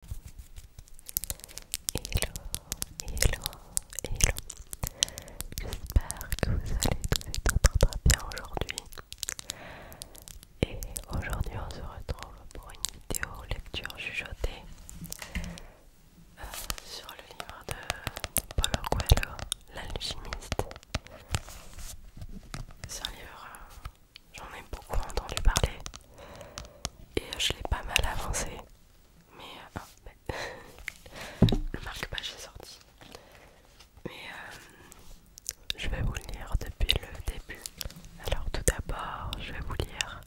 Hello, hello, hello. J'espère que vous allez tous très bien aujourd'hui. Et aujourd'hui, on se retrouve pour une vidéo lecture jugeotée euh, sur le livre de Paulo Coelho, L'Alchimiste. C'est un livre euh, J'en ai beaucoup entendu parler et euh, je l'ai pas mal avancé. Mais euh, ah, le marque est sorti. Mais euh, je vais vous lire depuis le début. Alors tout d'abord, je vais vous lire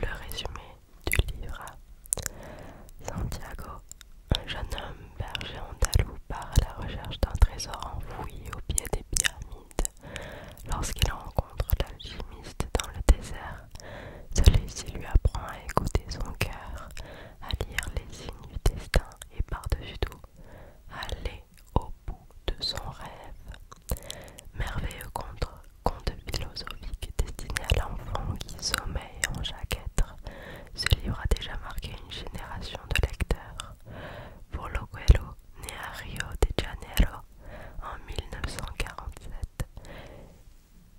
le résumé du livre. Santiago, un jeune homme berger andalou part à la recherche d'un trésor enfoui au pied des pyramides. Lorsqu'il rencontre l'alchimiste dans le désert, celui-ci lui apprend à écouter son cœur, à lire les signes du destin et par-dessus tout, à aller au bout de son rêve. Merveilleux contre conte philosophique destiné à l'enfant qui sommeille en chaque être, ce livre a déjà marqué une génération de lecteurs. Pour né à Rio de Janeiro en 1947,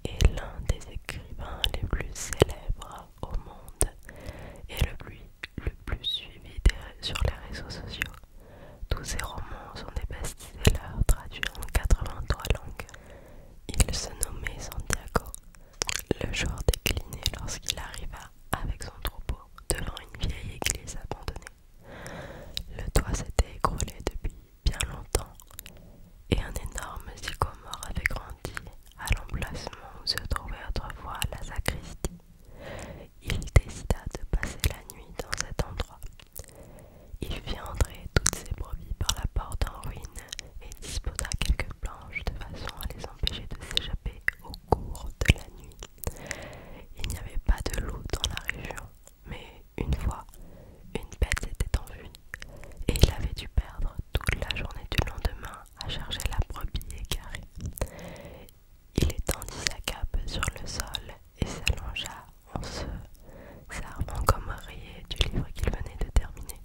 est l'un des écrivains les plus célèbres au monde et le plus, suivi sur les réseaux sociaux. Tous ses romans sont des best-sellers traduits en 83 langues. Il se nommait Santiago. Le jour déclinait lorsqu'il arriva avec son troupeau devant une vieille église abandonnée. Le toit s'était écroulé depuis bien longtemps et un énorme sycomore avait grandi à l'emplacement où se trouvait autrefois la sacristie. Il décida de passer la nuit dans cet endroit. Il fit entrer toutes ses brebis par la porte en ruine et disposa quelques planches de façon à les empêcher de s'échapper au cours de la nuit. Il n'y avait pas de loup dans la région, mais une fois, une bête était en vue, et il avait dû perdre toute la journée du lendemain à charger la brebis carrée Il étendit sa cape sur le sol et s'allongea en se servant comme oreiller du livre qu'il venait de terminer.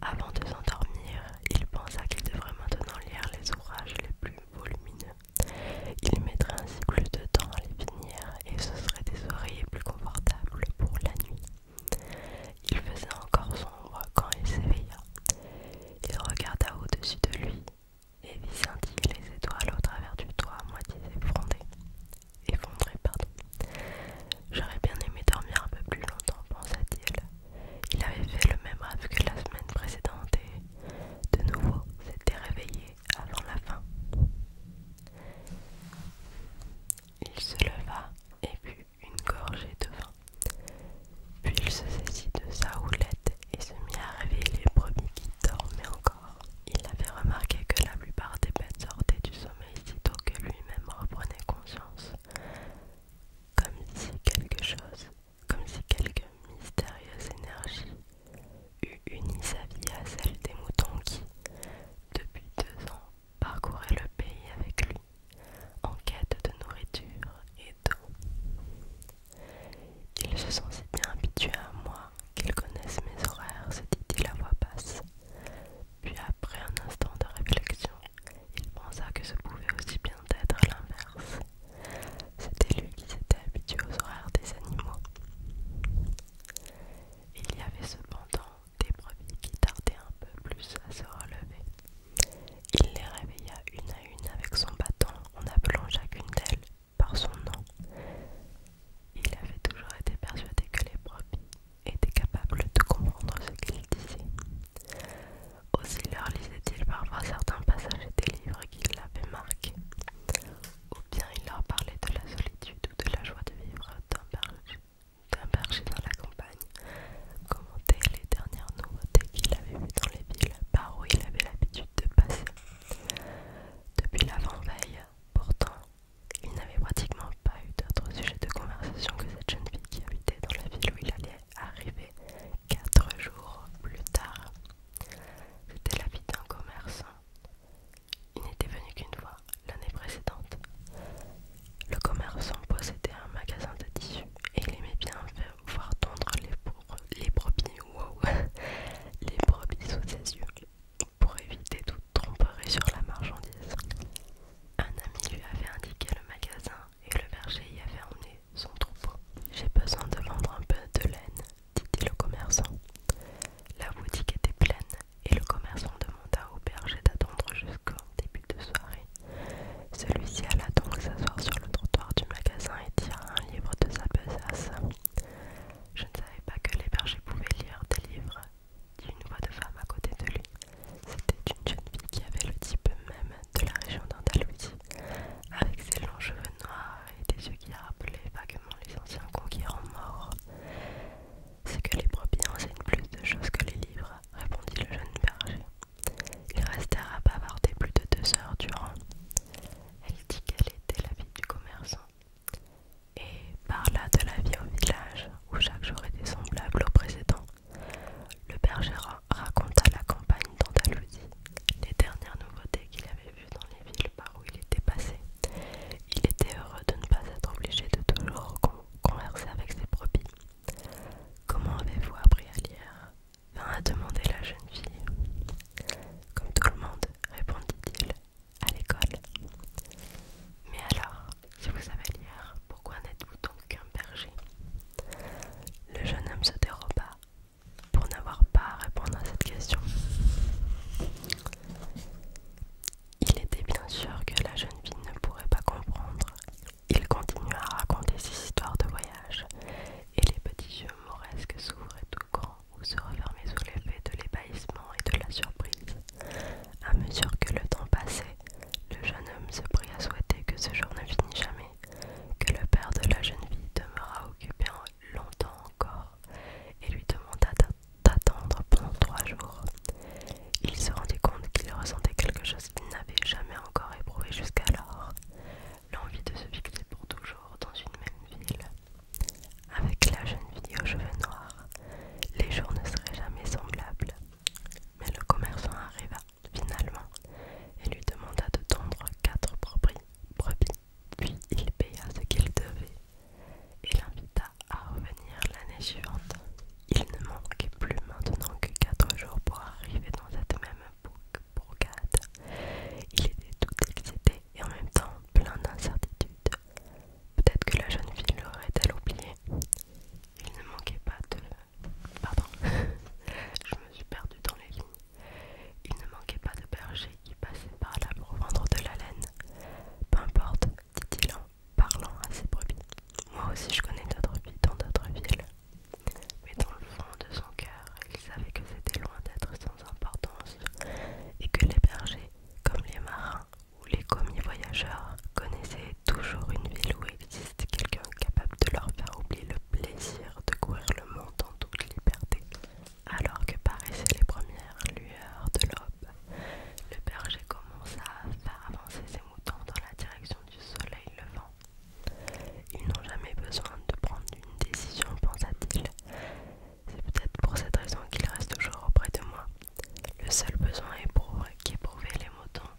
Avant de s'endormir, il pensa qu'il devrait maintenant lire les ouvrages les plus volumineux il mettrait ainsi plus de temps à les finir et ce serait des oreillers plus confortables pour la nuit. Il faisait encore sombre quand il s'éveilla. Il regarda au-dessus de lui et vit scintiller les étoiles au travers du toit moitié effondré. J'aurais bien aimé dormir un peu plus longtemps, pensa-t-il. Il avait fait le même rêve que la semaine précédente de nouveau s'était réveillé avant la fin. Il se leva et but une gorgée de vin. Puis il se saisit de sa houlette et se mit à réveiller les premiers qui dormaient encore. Il avait remarqué que la plupart des bêtes sortaient du sommeil sitôt que lui-même reprenait conscience, comme si quelque chose comme si quelque mystérieuse énergie eût uni sa vie à celle des moutons qui, depuis deux ans, parcouraient le pays avec lui, en quête de nourriture et d'eau. Ils se sont si bien habitués à moi qu'ils connaissent mes horaires, se dit-il à voix basse. Puis après un instant de réflexion, il pensa que ce pouvait aussi bien être l'inverse. C'était lui qui s'était habitué aux horaires des animaux. Il y avait cependant des brebis qui tardaient un peu plus à se relever. Il les réveilla une à une avec son bâton en appelant chacune d'elles par son nom. Il avait toujours été persuadé que les brebis étaient capables de comprendre ce qu'il disait. Aussi leur lisait-il parfois certains passages des livres qui avait marqué, ou bien il leur parlait de la solitude ou de la joie de vivre d'un berger dans la campagne, commenter les dernières nouveautés qu'il avait vues dans les villes par où il avait l'habitude de passer. Depuis l'avant-veille, pourtant, il n'avait pratiquement pas eu d'autre sujet de conversation que cette jeune fille qui habitait dans la ville où il allait arriver quatre jours plus tard. C'était la vie d'un commerçant. Il n'était venu qu'une fois, l'année précédente. Le commerçant possédait un magasin de tissus et il aimait bien voir tondre les, les brebis, les brebis sous ses yeux pour éviter toute tromperie sur la marchandise. Un ami lui avait indiqué le magasin et le berger y avait emmené son troupeau. J'ai besoin de vendre un peu de laine, dit-il au commerçant. La boutique était pleine et le commerçant demanda au berger d'attendre jusqu'au début de soirée. Celui-ci alla donc s'asseoir sur le trottoir du magasin et tira un livre de sa besace. Je ne savais pas que les bergers pouvaient lire des livres, dit une voix de femme à côté de lui. C'était une jeune fille qui avait le type même de la région d'Andalousie avec ses longs cheveux noirs et des yeux qui rappelaient vaguement les anciens conquérants morts. C'est que les premiers enseignent plus de choses que les livres, répondit le jeune berger. Ils restèrent à bavarder plus de deux heures durant. Elle dit qu'elle était la vie du commerçant et parla de la vie au village où chaque jour était semblable au précédent. Le berger raconta la campagne d'Andalousie les dernières nouveautés qu'il avait vues dans les villes par où il était passé. Il était heureux de ne pas être obligé de toujours converser avec ses brebis. Comment avez-vous appris à lire vint à demander la jeune fille. Comme tout le monde, répondit-il, à l'école. Mais alors, si vous savez lire, pourquoi n'êtes-vous donc qu'un berger Le jeune homme se déroba, pour n'avoir pas à répondre à cette question. Il était bien sûr que la jeune fille ne pourrait pas comprendre. Il continua à raconter ses histoires de voyage, et les petits yeux mauresques s'ouvraient tout grand ou se refermaient sous l'effet de l'ébahissement et de la surprise. À mesure que le temps passait, le jeune homme se prit à souhaiter que ce jour ne finisse jamais que le père de la jeune fille demeura occupé longtemps encore et lui demanda d'attendre pendant trois jours. Il se rendit compte qu'il ressentait quelque chose qu'il n'avait jamais encore éprouvé jusqu'alors, l'envie de se fixer pour toujours dans une même ville. Avec la jeune fille aux cheveux noirs, les jours ne seraient jamais semblables. Mais le commerçant arriva Finalement, il lui demanda de tendre quatre brebis, puis il paya ce qu'il devait et l'invita à revenir l'année suivante. Il ne manquait plus maintenant que quatre jours pour arriver dans cette même bourgade. Il était tout excité et en même temps plein d'incertitudes. Peut-être que la jeune fille l'aurait-elle oublié. Il ne manquait pas de Pardon, je me suis perdue dans les lignes. Il ne manquait pas de bergers qui passaient par là pour vendre de la laine. Peu importe, dit-il en parlant à ses brebis. Moi aussi je connais d'autres villes, dans d'autres villes. Mais dans le fond de son cœur, il savait que c'était loin d'être sans importance et que les bergers, comme les marins ou les commis voyageurs, connaissaient toujours une ville où existe quelqu'un capable de leur faire oublier le plaisir de courir le monde en toute liberté. Alors que paraissaient les premières lueurs de l'aube, le berger commença à faire avancer ses moutons dans la direction du soleil levant. Ils n'ont jamais besoin de prendre une décision, pensa-t-il. C'est peut-être pour cette raison qu'ils restent toujours auprès de moi. Le seul besoin qu'éprouvaient les moutons,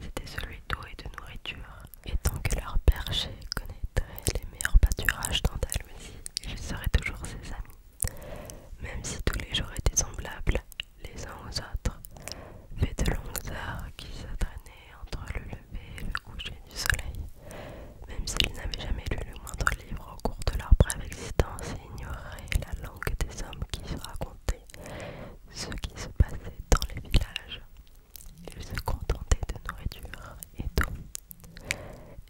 c'était celui d'eau et de nourriture. Et tant que leur berger connaîtrait les meilleurs pâturages d'andalousie, ils seraient toujours ses amis. Même si tous les jours étaient semblables les uns aux autres, faits de longues heures qui se traînaient entre le lever et le coucher du soleil, même s'ils n'avaient jamais lu le moindre livre au cours de leur brève existence et ignoraient la langue des hommes qui se racontaient ce qui se passait dans les villages. Ils se contentaient de nourriture et d'eau.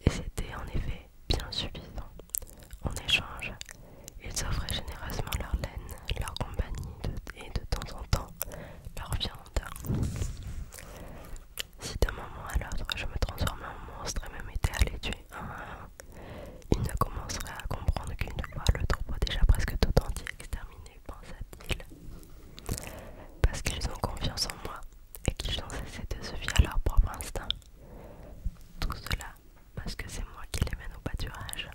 Et c'était en effet bien suffisant. En échange, ils offraient généreusement leur laine, leur compagnie et de temps en temps leur viande. Si d'un moment à l'autre je me transformais en monstre et me mettais à les tuer un ils ne commenceraient à comprendre qu'une fois le troupeau déjà presque tout entier exterminé, parce qu'ils ont confiance en moi et qu'ils ont cessé de se fier à leur propre instinct. Tout cela parce que c'est moi qui les mène au pâturage.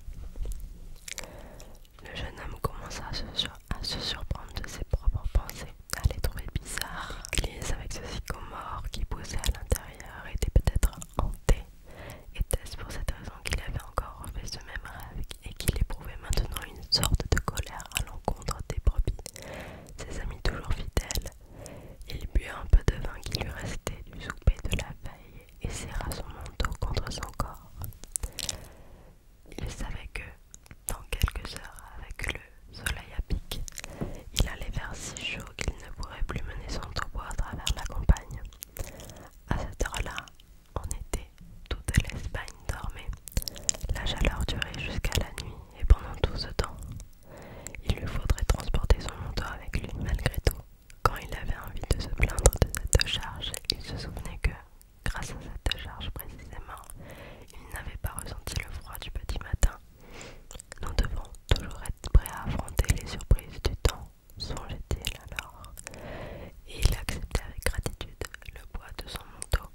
Le jeune homme commença à se, surprendre de ses propres pensées, à les trouver bizarres, Lise avec ce sycomore qui poussait à l'intérieur était peut-être hanté. Était-ce pour cette raison qu'il avait encore refait ce même rêve et qu'il éprouvait maintenant une sorte de colère à l'encontre des brebis, ses amis toujours fidèles. Il but un peu de vin qui lui restait du souper de la veille et serra son manteau contre son corps. Il savait que, dans quelques heures, avec le soleil à pic, il allait vers si chaud qu'il ne pourrait plus mener son troupeau à travers la campagne. À cette heure-là, en été, toute l'Espagne dormait. La chaleur durait jusqu'à la nuit et pendant tout ce temps, il lui faudrait transporter son manteau avec lui malgré tout. Quand il avait envie de se plaindre de cette charge, il se souvenait que, grâce à cette charge précisément, il n'avait pas ressenti le froid du petit matin. Nous devons toujours être prêts à affronter les surprises du temps, songeait-il alors. Et il acceptait avec gratitude le bois de son manteau.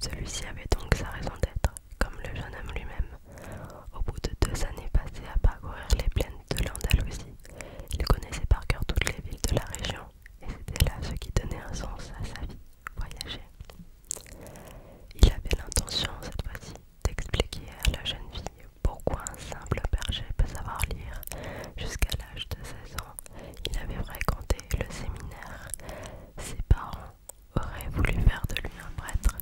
Celui-ci avait donc sa raison d'être, comme le jeune homme lui-même. Au bout de deux années passées à parcourir les plaines de l'Andalousie, il connaissait par cœur toutes les villes de la région, et c'était là ce qui donnait un sens à sa vie, voyager. Il avait l'intention, cette fois-ci, d'expliquer à la jeune fille pourquoi un simple berger peut savoir lire jusqu'à l'âge de 16 ans il avait fréquenté le séminaire. Ses parents auraient voulu faire de lui un prêtre,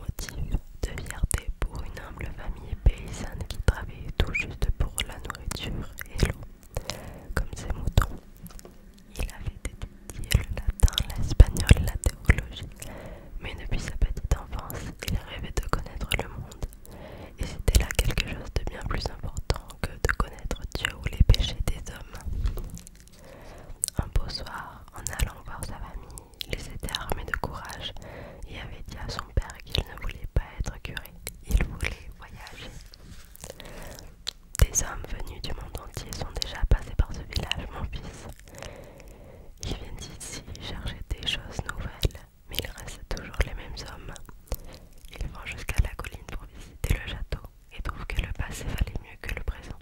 motif de fierté pour une humble famille paysanne qui travaillait tout juste pour la nourriture et l'eau, comme ses moutons. Il avait étudié le latin, l'espagnol, la théologie, mais depuis sa petite enfance, il rêvait de connaître le monde et c'était là quelque chose de bien plus important que de connaître Dieu ou les péchés des hommes. Un beau soir, en allant voir sa famille, il s'était armé de courage et avait dit à son père qu'il ne voulait pas être curé, il voulait voyager. Des hommes venus du monde entier sont déjà passés par ce village, mon fils. Ils viennent ici chercher des choses nouvelles mais ils restent toujours les mêmes hommes. Ils vont jusqu'à la colline pour visiter le château et trouvent que le passé valait mieux que le présent.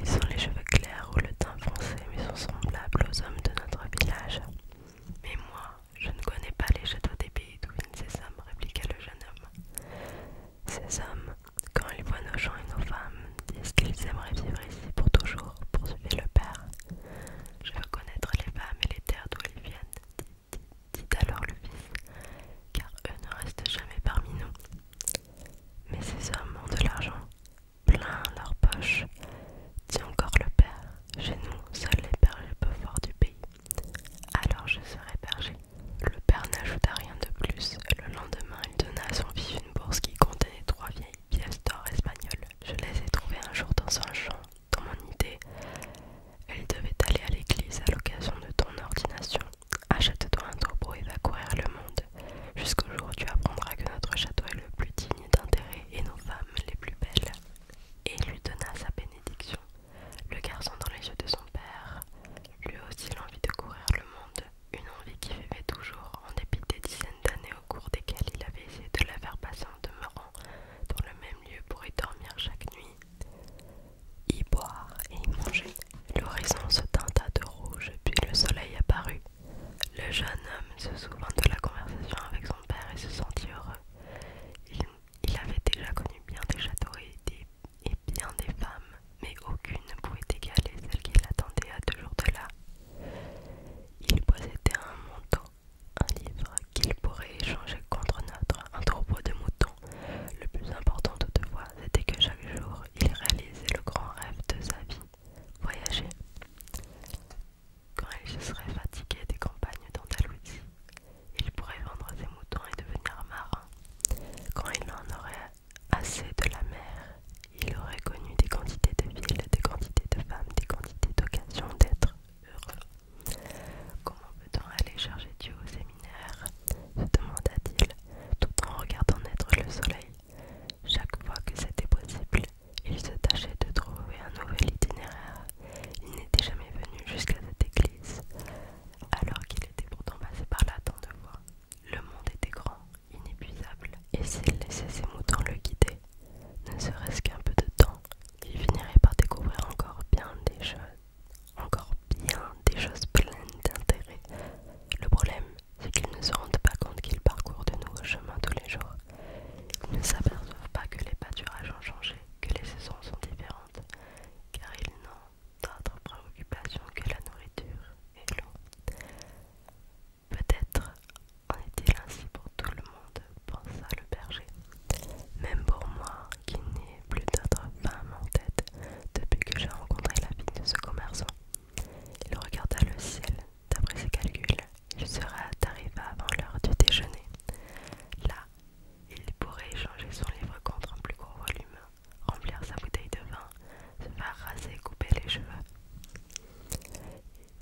Ils ont les cheveux clairs ou le teint foncé, mais sont semblables aux hommes de notre village. Mais moi, je ne connais pas les châteaux des pays d'où viennent ces hommes, répliqua le jeune homme. Ces hommes, quand ils voient nos gens et nos femmes, disent qu'ils aimeraient vivre ici pour toujours, poursuivit le père. Je veux connaître les femmes et les terres d'où elles viennent, dit, alors le fils, car eux ne restent jamais parmi nous. Mais ces hommes ont de l'argent, plein leur poche, dit encore le père. Chez nous, seuls les bergers peuvent voir du pays. Alors je serai berger. Le père n'ajouta rien de plus. Le lendemain, il donna à son fils une bourse qui contenait trois vieilles pièces d'or espagnoles. Je les ai trouvées un jour dans un champ dans mon idée, elle devait aller à l'église à l'occasion de ton ordination. Achète-toi un troupeau et va courir le monde. Jusqu'au jour où tu apprendras que notre château est le plus digne d'intérêt et nos femmes les plus belles. Et lui donna sa bénédiction. Le garçon dans les yeux de son père, lui aussi l'envie de courir le monde, une envie qui vivait toujours en dépit des dizaines d'années au cours desquelles il avait essayé de la faire passer en demeurant dans le même lieu pour y dormir chaque nuit, y boire et y manger. L'horizon se teinta de rouge, puis le soleil apparut. Le jeune homme se souvint de la conversation avec son père et se sentit heureux. Il, avait déjà connu bien des châteaux et, bien des femmes, mais aucune ne pouvait égaler celle qui l'attendait à deux jours de là. Il possédait un manteau un livre qu'il pourrait échanger contre notre un troupeau de moutons. Le plus important toutefois, c'était que chaque jour, il réalisait le grand rêve de sa vie, voyager. Quand il se serait fatigué des campagnes d'Andalousie, il pourrait vendre ses moutons et devenir marin. Quand il en aurait assez de la mer, il aurait connu des quantités de villes, des quantités de femmes, des quantités d'occasions d'être. Comment peut-on aller chercher Dieu au séminaire se demanda-t-il, tout en regardant naître le soleil. Chaque fois que c'était possible, il se tâchait de trouver un nouvel itinéraire. Il n'était jamais venu jusqu'à cette église, alors qu'il était pourtant passé par là tant de fois. Le monde était grand, inépuisable, et s'il laissait ses moutons le guider, ne serait-ce qu'un peu de temps, il finirait par découvrir encore bien des choses, encore bien des choses pleines d'intérêt. Le problème, c'est qu'ils ne se rendent pas compte qu'ils parcourent de nouveaux chemins tous les jours. Ils ne s'aperçoivent pas que les pâturages ont changé, que les saisons sont différentes, car ils n'ont d'autres préoccupations que la nourriture et l'eau. Peut-être en est-il ainsi pour tout le monde, pensa le berger. Même pour moi, qui n'ai plus d'autre femme en tête depuis que j'ai rencontré la vie de ce commerçant. Il regarda le ciel. D'après ses calculs, il sera arrivé avant l'heure du déjeuner. Là, il pourrait échanger son livre contre un plus gros volume, remplir sa bouteille de vin, se faire raser et couper les cheveux.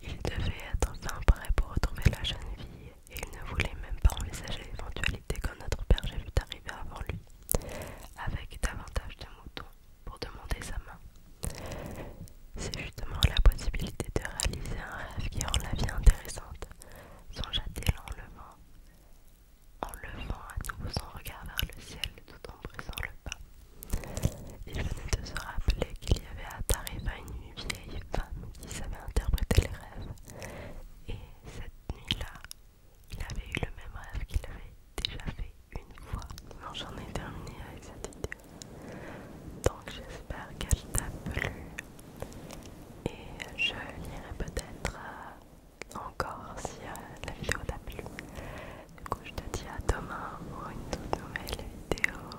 Il devait être fin prêt pour retrouver la jeune fille, et il ne voulait même pas envisager l'éventualité quand notre berger fut arrivé avant lui, avec davantage de moutons, pour demander sa main. C'est justement la possibilité de réaliser un rêve qui rend la vie intéressante, songea-t-il en levant, en levant à nouveau son regard vers le ciel tout en brisant le pas. Il venait de se rappeler qu'il y avait à Tarifa une vieille femme qui savait interpréter les rêves. Et cette nuit-là, il avait eu le même rêve qu'il avait déjà fait une fois. Non, j'en ai terminé avec cette vidéo. Donc j'espère qu'elle t'a plu. Et je lirai peut-être euh, encore si euh, la vidéo t'a plu. Du coup, je te dis à demain pour une toute nouvelle vidéo.